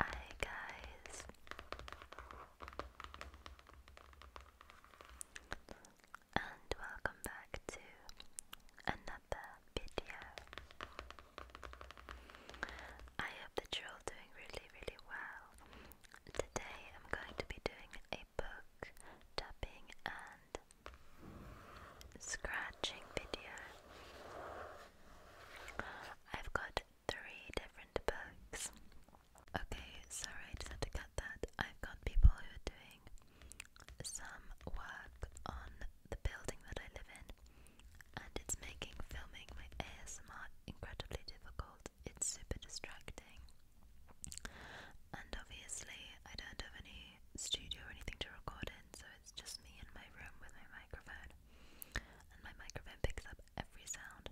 Hi guys. And welcome back to another video. I hope that you're all doing really, really well. Today I'm going to be doing a book tapping and scratching video. I've got three different books. Okay, sorry, just had to cut that. I've got people who are doing some work on the building that I live in, and it's making filming ASMR incredibly difficult. It's super distracting, and obviously, I don't have any studio or anything to record in, so it's just me in my room with my microphone. And my microphone picks up every sound.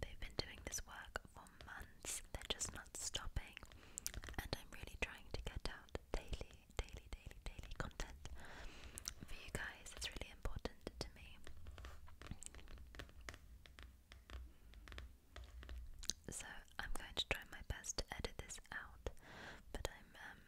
They've been doing this work for months, they're just not stopping. And I'm really trying to get out daily, daily, daily, daily content for you guys. It's really important to me. So I'm going to try my best to edit this out, but I'm um,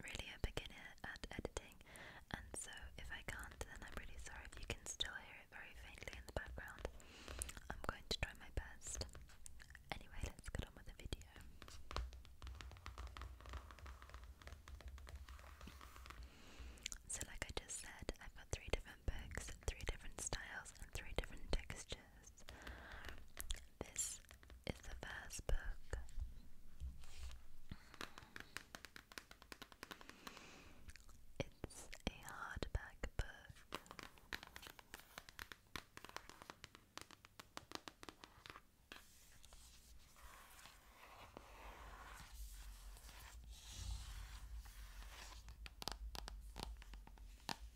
really a beginner at editing, and so if I can't, then I'm really sorry you can still hear it very faintly in the background. I'm going to try my best. Anyway, let's get on with the video. So, like I just said, I've got three different books, three different styles, and three different textures. This is the first book. It's a hardback book.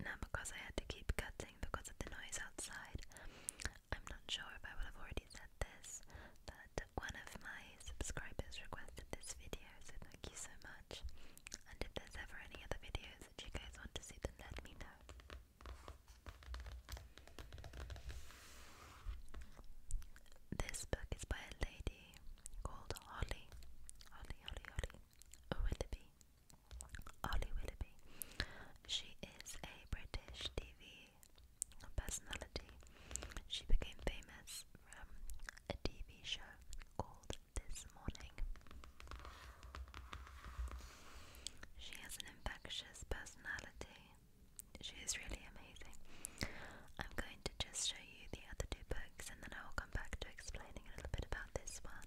Now, because I had to keep cutting because of the noise outside, I'm not sure if I would have already said this, but one of my subscribers requested this video, so thank you so much. And if there's ever any other videos that you guys want to see, then let me know. This book is by a lady called Holly. Holly, Holly, Holly. O'Willoughby. Oh, Ollie Willoughby. She is a British TV personality. She became famous from a TV show called This Morning. She has an infectious personality. She is really amazing. I'm going to just show you the other two books and then I will come back to explaining a little bit about this one.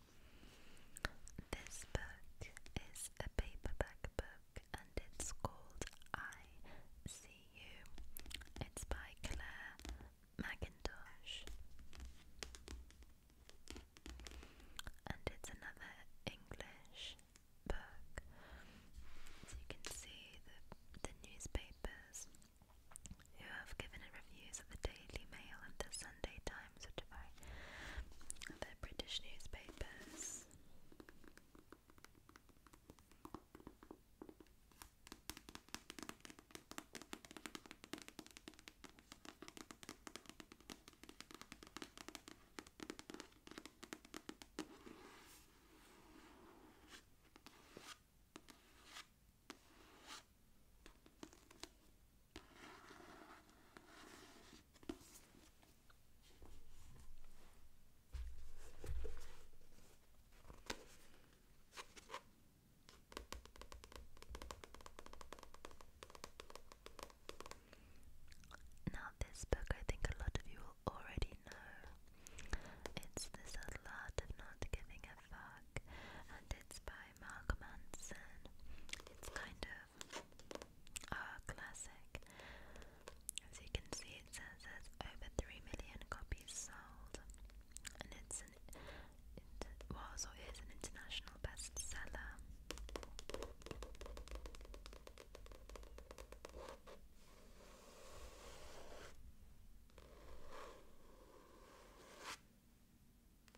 This book is a paperback book and it's called I See You. It's by Claire McIntosh. And it's another English book. So you can see the, newspapers who have given it reviews of the Daily Mail and the Sun Sunday Times, which I they British newspapers. Now, this book I think a lot of you will already know. It's This Little Not Giving a Fuck, and it's by Malcolm Manson. It's kind of are ah, classic. As you can see, it says there's over 3 million copies sold, and it's an, it was or is an international bestseller.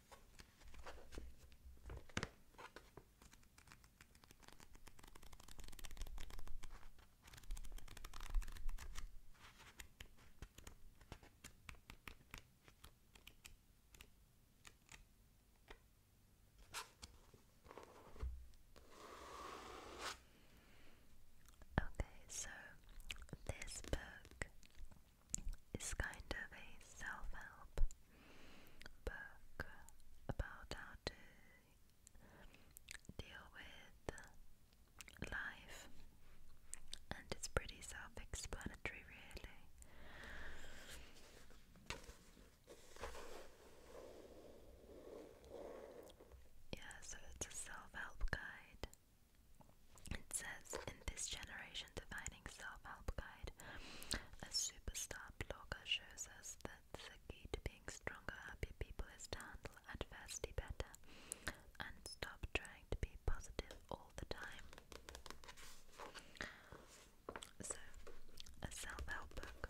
Okay, so this book it's kind of a self-help book about how to deal with life and it's pretty self-explanatory really yeah so it's a self-help guide it says in this generation defining self-help guide, a superstar blogger shows us that the key to being stronger, happy people is to handle adversity better and stop trying to be positive all the time. So, a self-help book.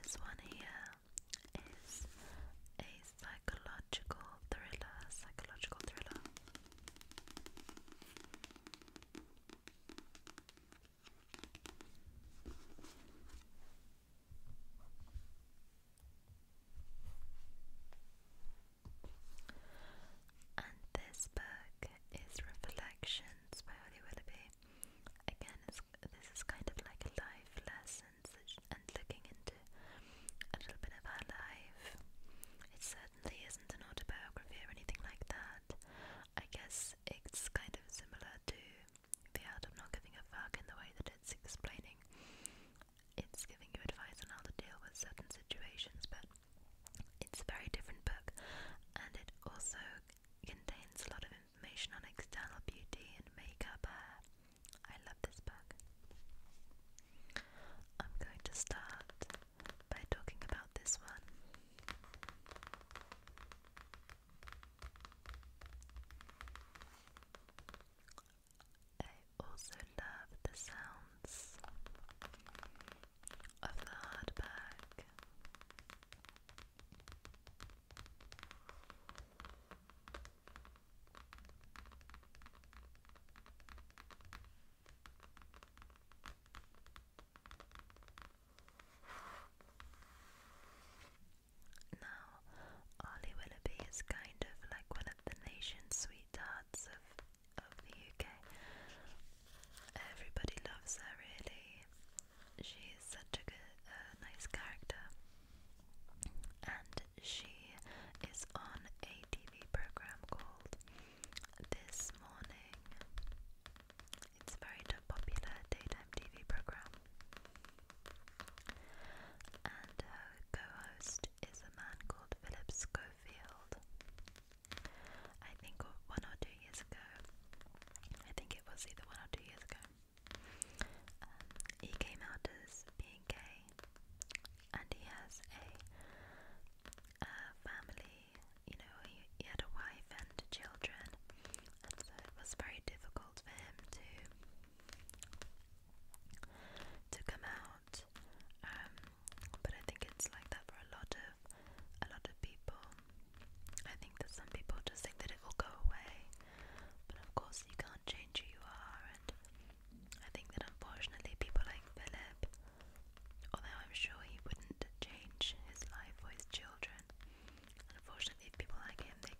This one here is a psychological thriller. Psychological thriller. And this book is Reflections by Holly Willoughby. Again, this is kind of like a life lesson and, such, and looking into a little bit of her life. It certainly isn't an autobiography or anything like that. I guess it's kind of similar to The Art of Not Giving a Fuck in the way that it's explaining. It's giving you advice on how to deal with certain situations, but it's a very different book, and it also contains a lot of information on external beauty and makeup uh, I love this book. I'm going to start by talking about this one. I also love the sounds of the hardback. Now, Ollie Willoughby is kind of like one of the nation's sweethearts of of the UK. Everybody loves her really she's such a good, uh, nice character, and she is on a TV program called This Morning. It's a very popular daytime TV program, and her co-host is a man called Philip Schofield. I think one or two years ago. I think it was either one or two years ago. Um, he came out as being gay, and he has a, a family. You know, he, he had a wife and children, and so it was very difficult for him to to come out. Um, but I think it's like that for a lot of a lot of people. I think that some people just think that it will go away but of course, you can't change who you are, and I think that unfortunately, people like Philip, although I'm sure he wouldn't change his life or his children, unfortunately, people like him, they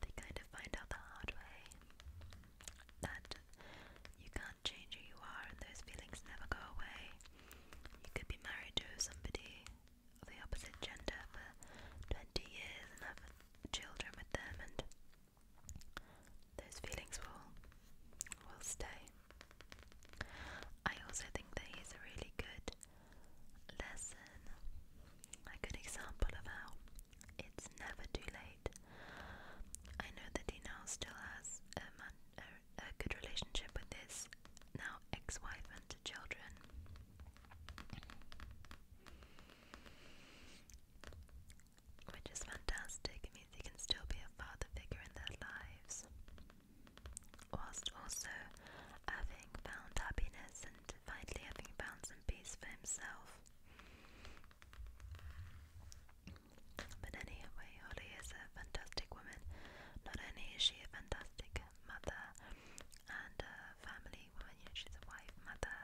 they kind of find out the hard way that you can't change who you are, and those feelings never go away. You could be married to somebody the opposite gender for 20 years and have children with them, and those feelings will will stay. I also think that he's a really good lesson, a good example of how it's never too late. I know that he now still has a, man, a, a good relationship with his now ex-wife and two children, which is fantastic. It means they can still be a father figure in their lives, whilst also having found happiness and finally having found some peace for himself. But anyway, Holly is a fantastic woman. Not only is she a fantastic mother and uh, family you know, she's a wife, mother.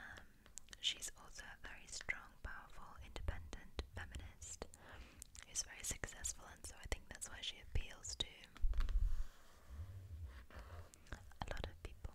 Um, she's also a very strong, powerful, independent feminist who's very successful, and so I think that's why she appeals to a lot of people.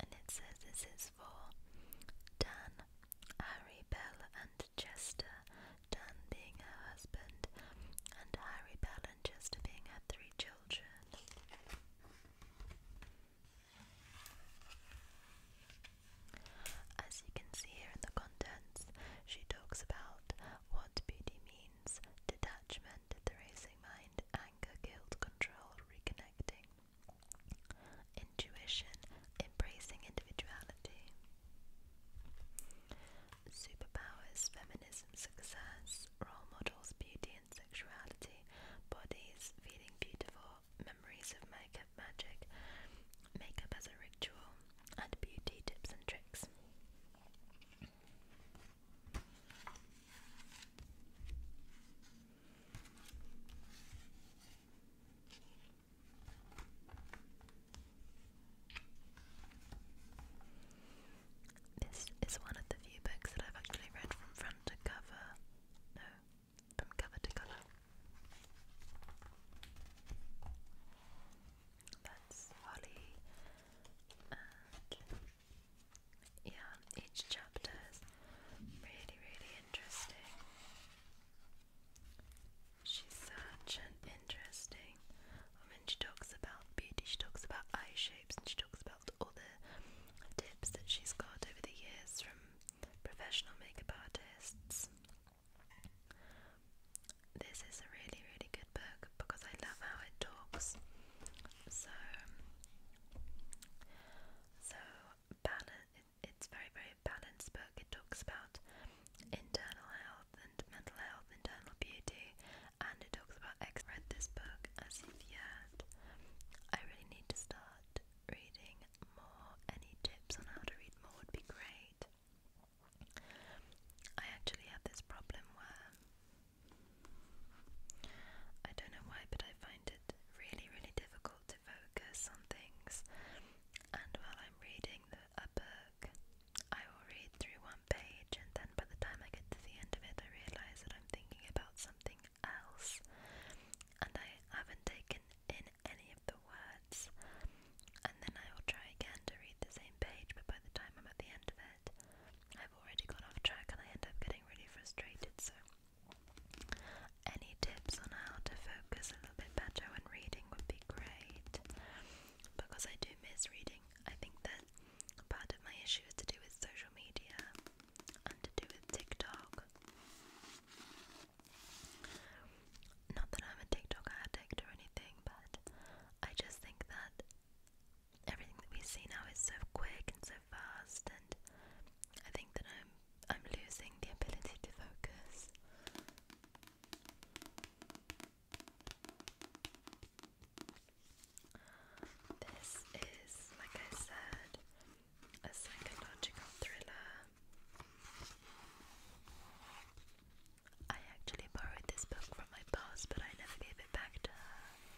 And it says this is for Dan, Harry, Bella, and Chester. Dan being her husband, and Harry, Bella, and Chester being her three children. As you can see here in the contents, she talks about what beauty means, detachment, the racing mind, anger, guilt, control, reconnecting, intuition, embracing individuality, superpowers, feminism, success, role models, beauty and sexuality, bodies, feeling beautiful, memories of makeup magic, makeup as a ritual, and beauty tips and tricks. This is one of the few books that I've actually read from front to cover. No, from cover to colour. That's Holly and yeah, each chapter is really, really interesting. She's such an interesting woman. She talks about beauty, she talks about eye shapes, and she talks about all the tips that she's got over the years from professional makeup artists. This is a really, really good book because I love how it talks so, so balance. It, it's very very balanced book. It talks about internal health and mental health, internal beauty, and it talks about. Ex read this book as if yet. I really need to start reading more. Any tips on how to read more would be great. I actually have this problem where I don't know why, but I find it really, really difficult to focus on things. And while I'm reading the, a book, I will read through one page, and then by the time I get to the end of it, I realize that I'm thinking about something else, and I haven't taken in any of the words. And then I will try again to read the same page, but by the time I'm at the end of it, I've already gone off track and I end up getting really frustrated, so any tips on how to focus a little bit better when reading would be great. Because I do miss reading. I think that part of my issue is to do with social media and to do with TikTok. Not that I'm a TikTok addict or anything, but I just think that everything that we see now is so quick and so fast, and I think that I'm I'm losing the ability to focus. This is, like I said, a psychological thriller. I actually borrowed this book from my boss, but I never gave it back to her.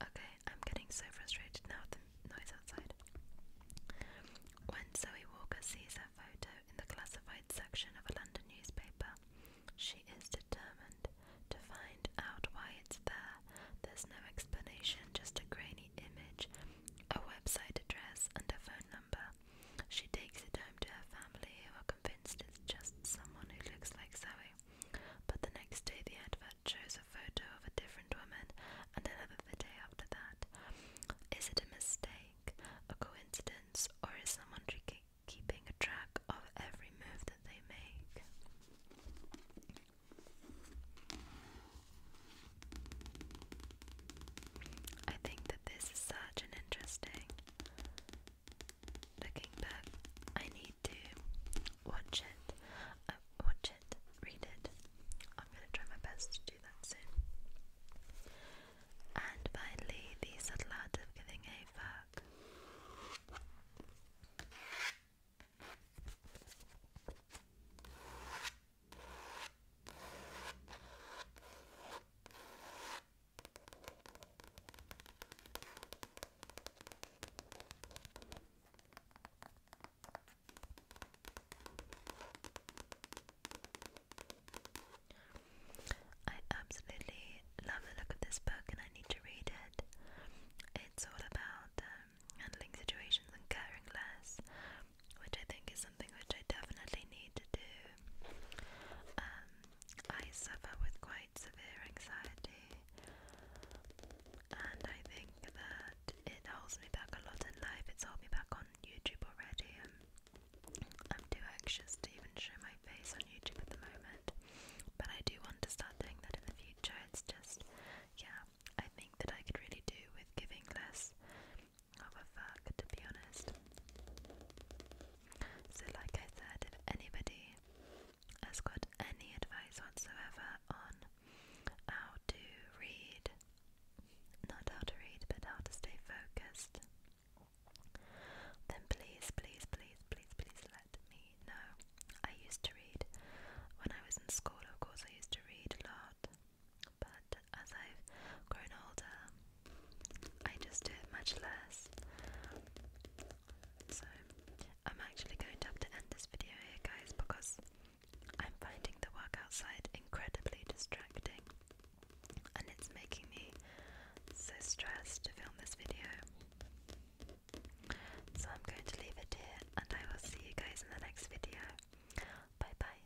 Okay, I'm getting so frustrated now the noise outside. When Zoe Walker sees her photo in the classified section of a London newspaper, she is determined to find out why it's there. There's no explanation, just a grainy image, a website address, and a phone number. Amber. She takes it home to her family, who are convinced it's just someone who looks like Zoe. But the next day, the advert shows a photo of a different woman, and another the day after that. Is it a mistake, a coincidence, or is someone keeping a track of every move that they make? I think that this is such an interesting Looking back, I need to watch it, uh, watch it, read it. I'm gonna try my best to do that soon. And finally, the subtle art of giving a fuck. I absolutely love the look of this book and I need to read it. It's all about um, handling situations and caring less, which I think is something which I definitely need to do um, I suffer with quite severe anxiety, and I think that it holds me back a lot in life. It's held me back on YouTube already. I'm too anxious to even show my face on YouTube at the moment, but I do want to start doing that in the future. It's just, yeah, I think that I could really do with giving less of a fuck, to be honest. So, like I said, if anybody has got any advice whatsoever on how to read, not how to read, but how to stay focused, then please, please, please, please, please let me know. I used to read when I was in school, of course, I used to read a lot. But as I've grown older, I just do it much less. So I'm actually going to have to end this video here, guys, because I'm finding the work outside incredibly distracting, and it's making me so stressed to film this video. So I'm going to leave it here, and I will see you guys in the next video. Bye bye.